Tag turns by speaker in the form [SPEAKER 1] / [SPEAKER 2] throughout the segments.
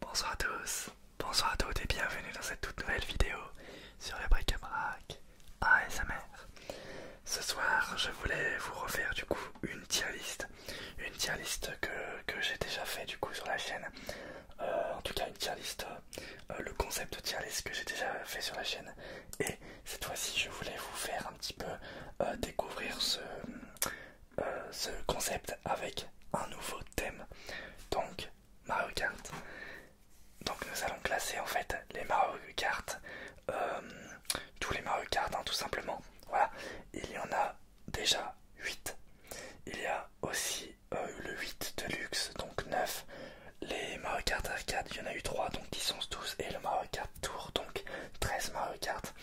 [SPEAKER 1] Bonsoir à tous, bonsoir à toutes et bienvenue dans cette toute nouvelle vidéo sur le bric-à-brac ASMR. Ce soir, je voulais vous refaire du coup une tier une tier que, j'ai déjà fait du coup sur la chaîne. Euh, en tout cas, une tier euh, le concept de tier que j'ai déjà fait sur la chaîne et cette fois-ci je voulais vous faire un petit peu euh, découvrir euh, ce, concept avec un nouveau thème. Donc Mario Kart. Donc nous allons classer en fait les Mario Kart, euh, tous les Mario Kart hein, tout simplement. Voilà, il y en a déjà 8. Il y a aussi le 8 de luxe, donc 9, les Mario Kart Arcade, il y en a eu 3, donc 10, 12, et le Mario Kart Tour, donc 13 Mario Kart,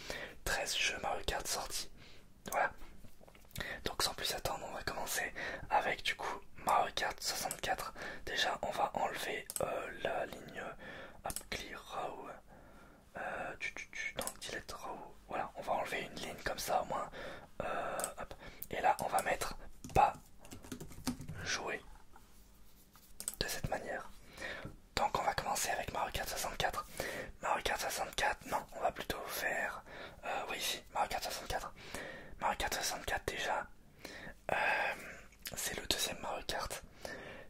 [SPEAKER 1] 13 jeux Mario Kart sortis. Voilà. Donc sans plus attendre, on va commencer avec du coup Mario Kart 64. Déjà, on va enlever euh, la ligne Up euh, Clear Row. Euh, tu, tu, tu, donc, Delete Row. Voilà, on va enlever une ligne comme ça au moins. Euh, hop. Et là, on va mettre pas jouer de cette manière. Donc on va commencer avec Mario Kart 64. Mario Kart 64, non, on va plutôt faire... Euh, oui, si, Mario Kart 64. Mario Kart 64 déjà, euh, c'est le deuxième Mario Kart.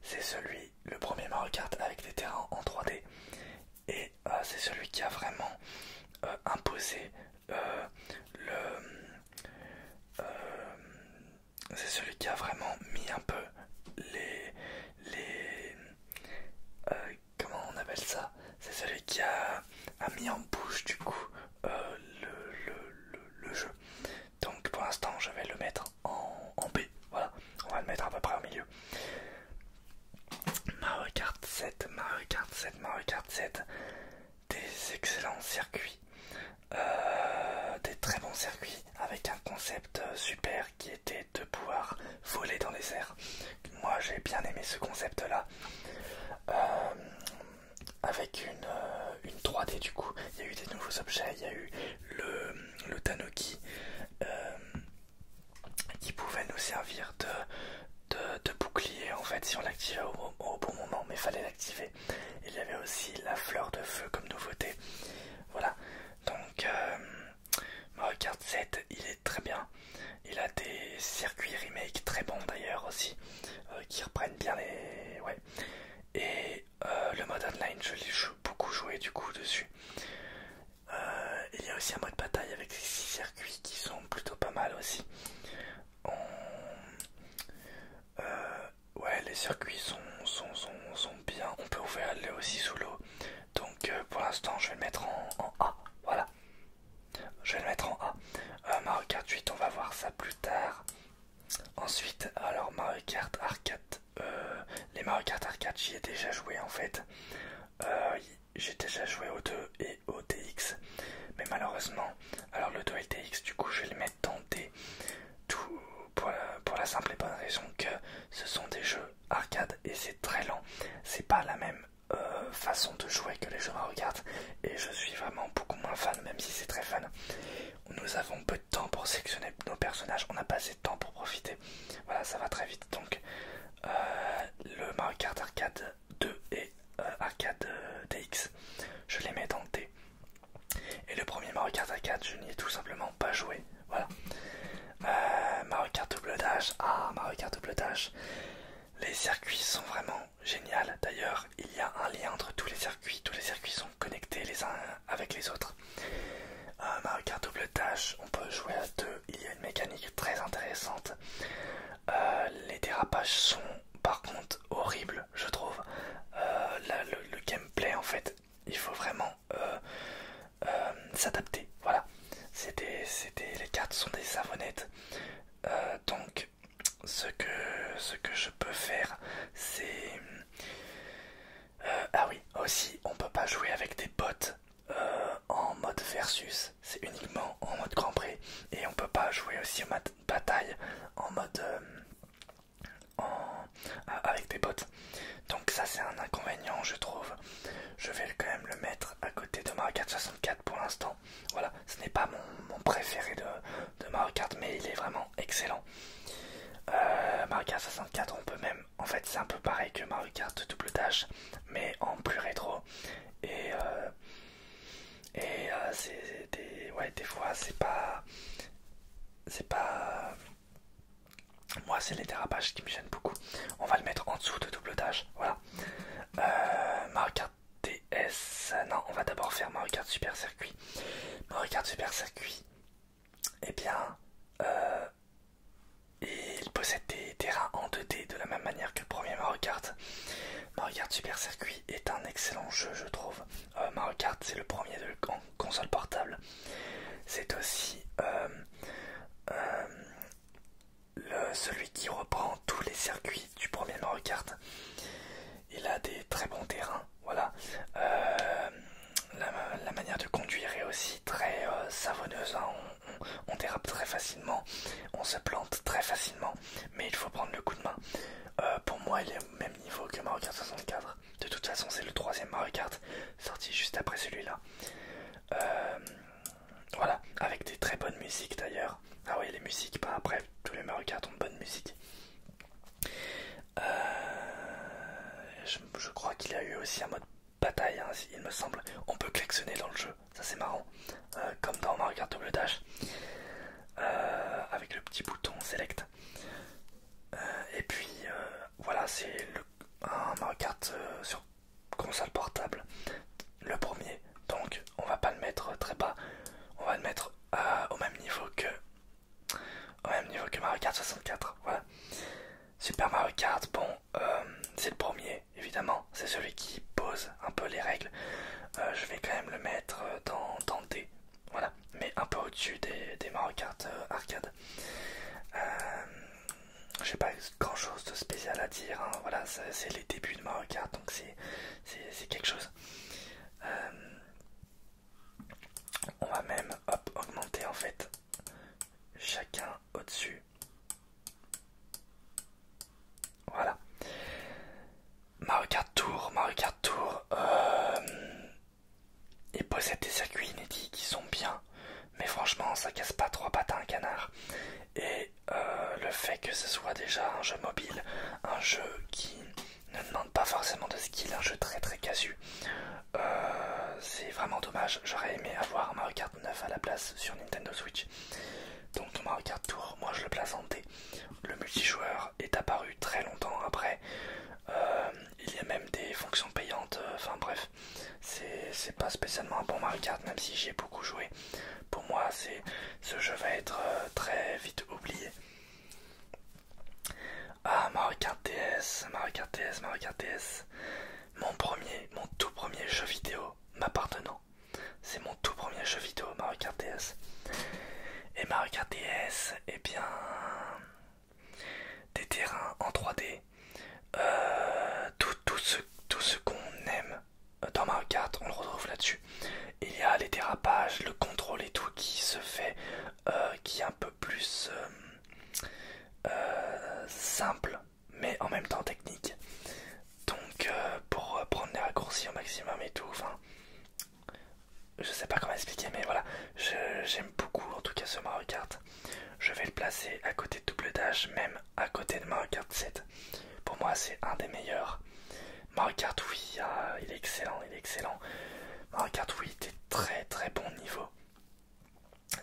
[SPEAKER 1] C'est celui, le premier Mario Kart avec des terrains en 3D. Et euh, c'est celui qui a vraiment imposé le c'est celui qui a vraiment mis un peu les. les euh, comment on appelle ça C'est celui qui a, a mis en bouche du coup euh, le, jeu. Donc pour l'instant, je vais le mettre en, en B. Voilà, on va le mettre à peu près au milieu. Mario Kart 7, Mario Kart 7, Mario Kart 7 des excellents circuits, euh, des très bons circuits avec un concept euh, super qui était de pouvoir voler dans les airs. Moi j'ai bien aimé ce concept là. Euh, avec une, 3D du coup, il y a eu des nouveaux objets, il y a eu le, le Tanuki qui pouvait nous servir de, bouclier en fait si on l'activait au bon moment, mais fallait l'activer. Il y avait aussi la fleur de feu comme nouveauté. Voilà. Donc, ma euh, Mario 7, il est très bien. Il a des circuits remake très bons d'ailleurs aussi, euh, qui reprennent bien les... Ouais. Et euh, le mode online, je l'ai beaucoup joué du coup dessus. il y a aussi un mode bataille avec ces six circuits qui sont plutôt pas mal aussi. Euh, ouais, les circuits sont, sont, sont, bien. On peut ouvrir les aussi sous l'eau. Donc euh, pour l'instant, je vais le mettre en, A. Voilà. Je vais le mettre en A. Euh, Mario Kart 8, on va voir ça plus tard. Ensuite, alors Mario Kart Arcade. les Mario Kart Arcade, j'y ai déjà joué en fait. j'ai déjà joué au 2 et au TX. Mais malheureusement, alors le 2 et le TX, du coup, je vais le mettre dans D tout pour, la simple et bonne raison que ce sont des jeux arcade et c'est très lent. C'est pas la même euh, façon de jouer que les jeux Mario Kart et je suis vraiment beaucoup moins fan, même si c'est très fan. Nous avons peu de temps pour sélectionner nos personnages, on n'a pas assez de temps pour profiter. Voilà, ça va très vite. Donc, euh, le Mario Kart Arcade 2 et euh, Arcade DX, je les mets dans le D. Et le premier Mario Kart à 4, je n'y ai tout simplement pas joué. Voilà. Euh, Mario Kart double dash. Ah, Mario Kart double dash. Les circuits sont vraiment géniaux. D'ailleurs, il y a un lien entre tous les circuits. Tous les circuits sont connectés les uns avec les autres. Euh, Mario Kart double dash, on peut jouer à deux. Il y a une mécanique très intéressante. Euh, les dérapages sont par contre horrible je trouve euh, le, gameplay en fait il faut vraiment euh, euh, s'adapter voilà c'était les cartes sont des savonnettes donc ce que ce que je peux faire c'est ah oui aussi on peut pas jouer avec des bots en mode versus c'est uniquement en mode grand prix et on peut pas jouer aussi au mat bataille en mode euh, en, euh, avec des bottes. Donc ça c'est un inconvénient je trouve. Je vais quand même le mettre à côté de Mario Kart 64 pour l'instant. Voilà, ce n'est pas mon, préféré de, Mario Kart mais il est vraiment excellent. Euh, Mario Kart 64 on peut même... En fait c'est un peu pareil que Mario Kart double dash mais en plus rétro. Et... Et euh, c'est des, ouais, des fois, c'est pas. C'est pas. Moi, c'est les dérapages qui me gênent beaucoup. On va le mettre en dessous de double tâche. Voilà. Euh, Mario Non, on va d'abord faire Mario Super Circuit. Mario Super Circuit. Eh bien, euh, il possède des terrains en 2D de la même manière que le premier Mario Mario Kart Super Circuit est un excellent jeu, je trouve. Euh, Mario Kart, c'est le premier en console portable. C'est aussi euh, euh, celui qui reprend tous les circuits du premier Mario Kart. Il a des très bons terrains, voilà. la, manière de conduire est aussi très savonneuse. Hein. on dérape très facilement, on se plante très facilement mais il faut prendre le coup de main. Euh, pour moi, il est au même niveau que Mario Kart 64. De toute façon, c'est le troisième Mario Kart sorti juste après celui-là. Euh, voilà, avec des très bonnes musiques d'ailleurs. Ah oui, les musiques, pas bah, après, tous les Mario Kart ont de bonnes musiques. Euh, je, crois qu'il y a eu aussi un mode bataille, hein, il me semble. On peut klaxonner dans le jeu, ça c'est marrant, comme dans Mario Kart Double Dash. Euh, avec le petit bouton select. Euh, et puis euh, voilà, c'est le Mario Kart sur console portable, le premier. Donc on va pas le mettre très bas, on va le mettre au même niveau que au même niveau que Mario Kart 64. Voilà. Super Mario Kart, bon, c'est le premier évidemment, c'est celui qui pose un peu les règles, euh, je vais quand même le mettre euh, dans, dans D, voilà, mais un peu au-dessus des, des euh, arcade. Je j'ai pas grand chose de spécial à dire, hein. voilà, c'est les débuts de Mario Kart, donc c'est quelque chose. on va même augmenter en fait chacun au-dessus. Voilà. Mario Kart Tour, Mario Kart Tour, il euh, possède des circuits inédits qui sont bien, mais franchement ça casse pas trois pattes à un canard. Et euh, le fait que ce soit déjà un jeu mobile, un jeu qui ne demande pas forcément de skill, un jeu très très casu, euh, c'est vraiment dommage. J'aurais aimé avoir Mario Kart 9 à la place sur Nintendo Switch. Donc Mario Tour, moi je le place Le multijoueur est apparu très longtemps après. Euh, il y a même des fonctions payantes, euh, enfin bref, c'est pas spécialement un bon Mario Kart, même si j'ai beaucoup joué. Pour moi, ce jeu va être euh, très vite oublié. Ah, Mario Kart DS, Mario Kart DS, Mario DS. Mon premier, mon tout premier jeu vidéo m'appartenant. C'est mon tout premier jeu vidéo Mario Kart DS. Et Mario Kart DS, eh bien, des terrains en 3D, euh, tout, ce, qu'on aime dans Mario Kart, on le retrouve là-dessus. Il y a les dérapages, le contrôle et tout qui se fait, euh, qui est un peu plus euh, simple, mais en même temps technique. Donc euh, pour euh, prendre les raccourcis au maximum et tout, enfin je sais pas comment expliquer mais voilà, j'aime beaucoup en tout cas ce Mario Kart. Je vais le placer à côté de Double Dash, même à côté de Mario Kart 7. Pour moi c'est un des meilleurs. Mario Kart oui, il est excellent, il est excellent. Mario Kart oui, des très très bons niveaux,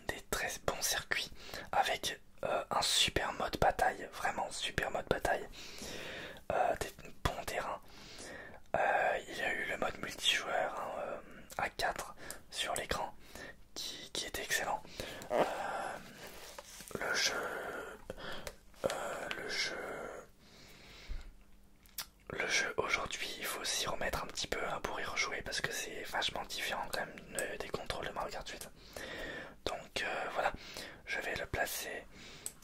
[SPEAKER 1] des très bons circuits avec euh, un super mode bataille, vraiment super mode bataille, euh, des bons terrains. Euh, il y a eu le mode multijoueur hein, à 4 sur l'écran qui, était excellent. le jeu, le jeu, le jeu aujourd'hui, il faut s'y remettre un petit peu hein, pour y rejouer parce que c'est vachement différent quand même des contrôles de Mario Kart 8. Donc euh, voilà, je vais le placer.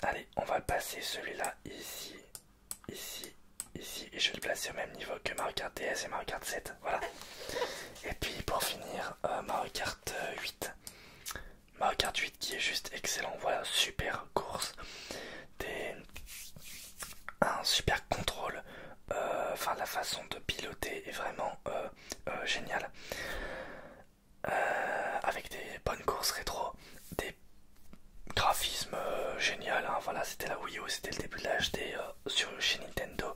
[SPEAKER 1] Allez, on va passer celui-là ici, ici, ici, et je vais le placer au même niveau que Mario Kart DS et Mario Kart 7. Voilà. Et puis pour finir, ma Mario 8. Mario Kart 8 euh, qui est juste excellent. Voilà, super course. Un super contrôle. Euh, enfin, la façon de piloter est vraiment géniale. Euh, avec des bonnes courses rétro, des graphismes euh, génial. Hein. voilà, c'était la Wii U, c'était le début de la HD euh, chez Nintendo.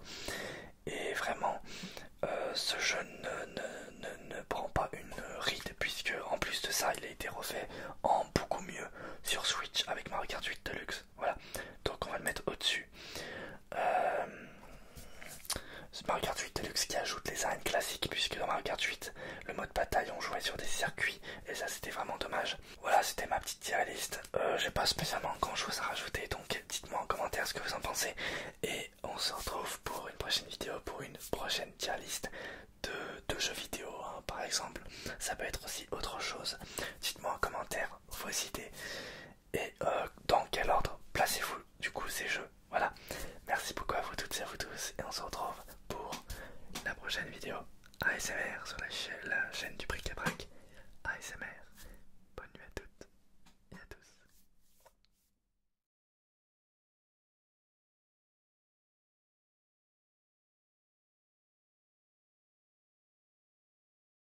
[SPEAKER 1] Et vraiment, ce jeu ne, ne, prend pas une ride, puisque en plus de ça, il a été refait en beaucoup mieux sur Switch avec Mario Kart 8 Deluxe. Voilà, donc on va le mettre au-dessus. C'est Mario Kart 8 Deluxe qui ajoute les arènes classiques, puisque dans Mario Kart 8, le mode bataille, on jouait sur des circuits, et ça c'était vraiment dommage. Voilà, c'était ma petite tier list. Euh, j'ai pas spécialement grand chose à rajouter, donc dites-moi en commentaire ce que vous en pensez. Et on se retrouve pour une prochaine vidéo, pour une prochaine tier de, jeux vidéo, hein, par exemple. Ça peut être aussi autre chose. Dites-moi en commentaire vos idées et euh, dans quel ordre placez-vous du coup ces jeux. Voilà, merci beaucoup à vous toutes et à vous tous et on se retrouve pour la prochaine vidéo ASMR sur la, chaîne du Bric à Brac ASMR. Bonne nuit à toutes et à tous.